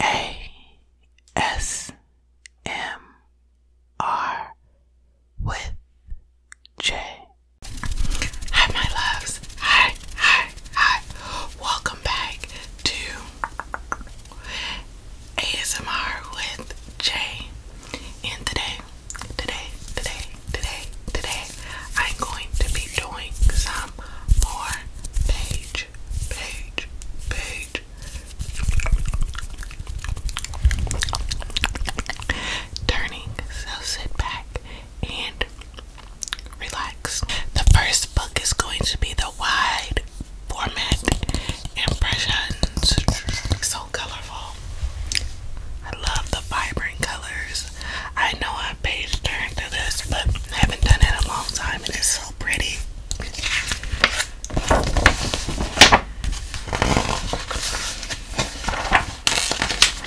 A S M R with J. Hi, my loves. Hi, hi, hi. Welcome back to ASMR with Jay. And today, today, today, today, today, I'm going to be doing some more page, page, page. Turning, so sit back and relax. The first book is going to be the wide format impressions. So colorful. I love the vibrant colors. I know I am page turned to this, but I haven't done it in a long time it's so pretty.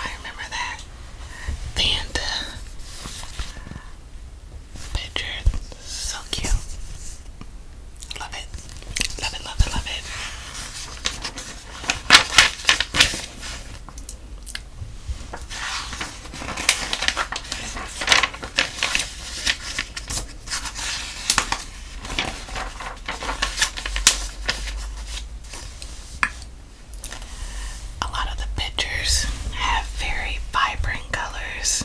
I remember that Fanta uh, picture so cute. Love it. Love it, love it, love it. A lot of the pictures have very vibrant colors.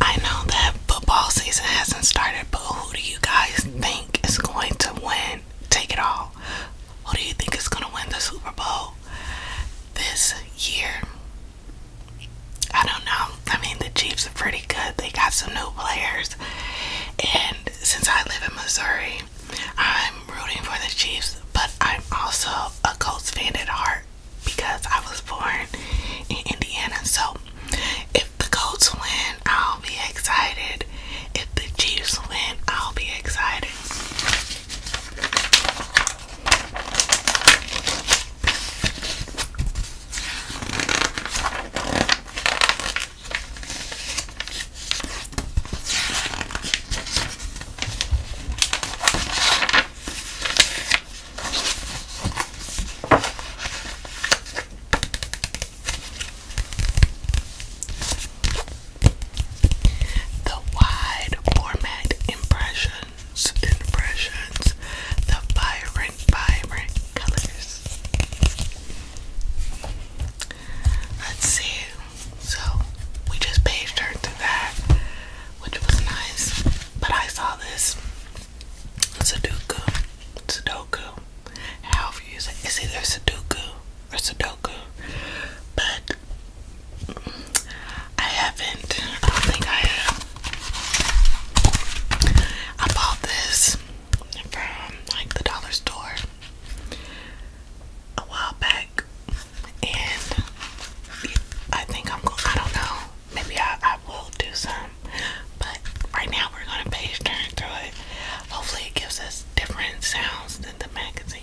I know that football season hasn't started, but who do you guys think is going to win? Take it all. Who do you think is going to win the Super Bowl this year? I don't know. I mean, the Chiefs are pretty good. They got some new players. And since I live in Missouri, I'm rooting for the Chiefs, but I'm also a Colts fan at heart because I was born in Indiana. So if the Colts win, I'll be excited. If the Chiefs win, I'll be excited. The wide format impression impressions, the vibrant, vibrant colors. Let's see. So we just page turned through that, which was nice. But I saw this Sudoku, Sudoku. However you use it, either Sudoku or Sudoku. But I haven't. I don't think I have. I bought this from like the dollar store a while back, and I think I'm going. I don't know. Maybe I, I will do some, but right now we're gonna page turn through it. Hopefully, it gives us different sounds than the magazine.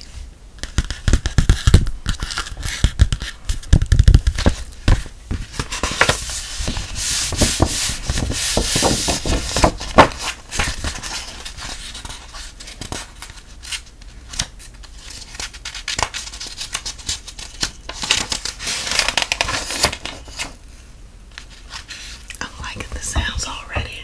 I'm liking the sounds already.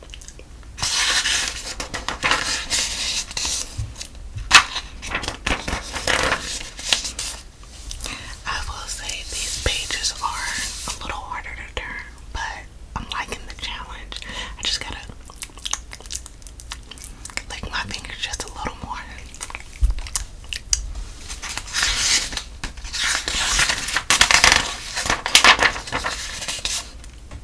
I will say these pages are a little harder to turn, but I'm liking the challenge. I just gotta lick my fingers just a little more.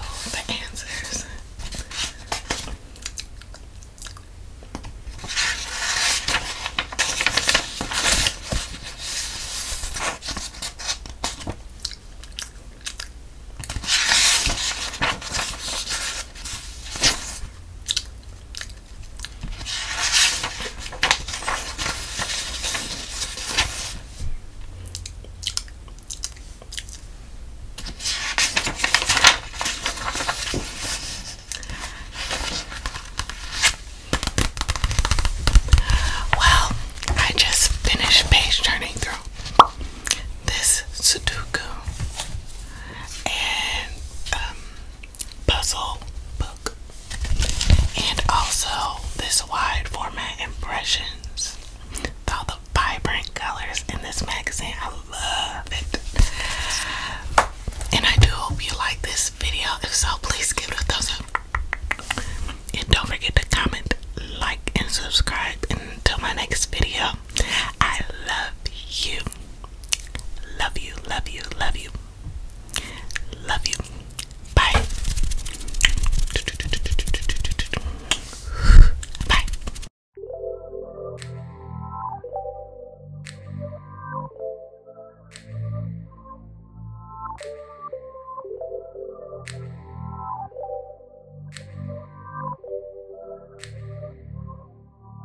Oh, the answers. Well, I just finished page turning through this Sudoku and um puzzle book. And also this wide format impressions. With the vibrant colors in this magazine. I love it. And I do hope you like this video. If so, please give it a thumbs up. And don't forget to comment, like, and subscribe. until my next video, I love you. Love you, love you, love you. Love you. Bye. Bye.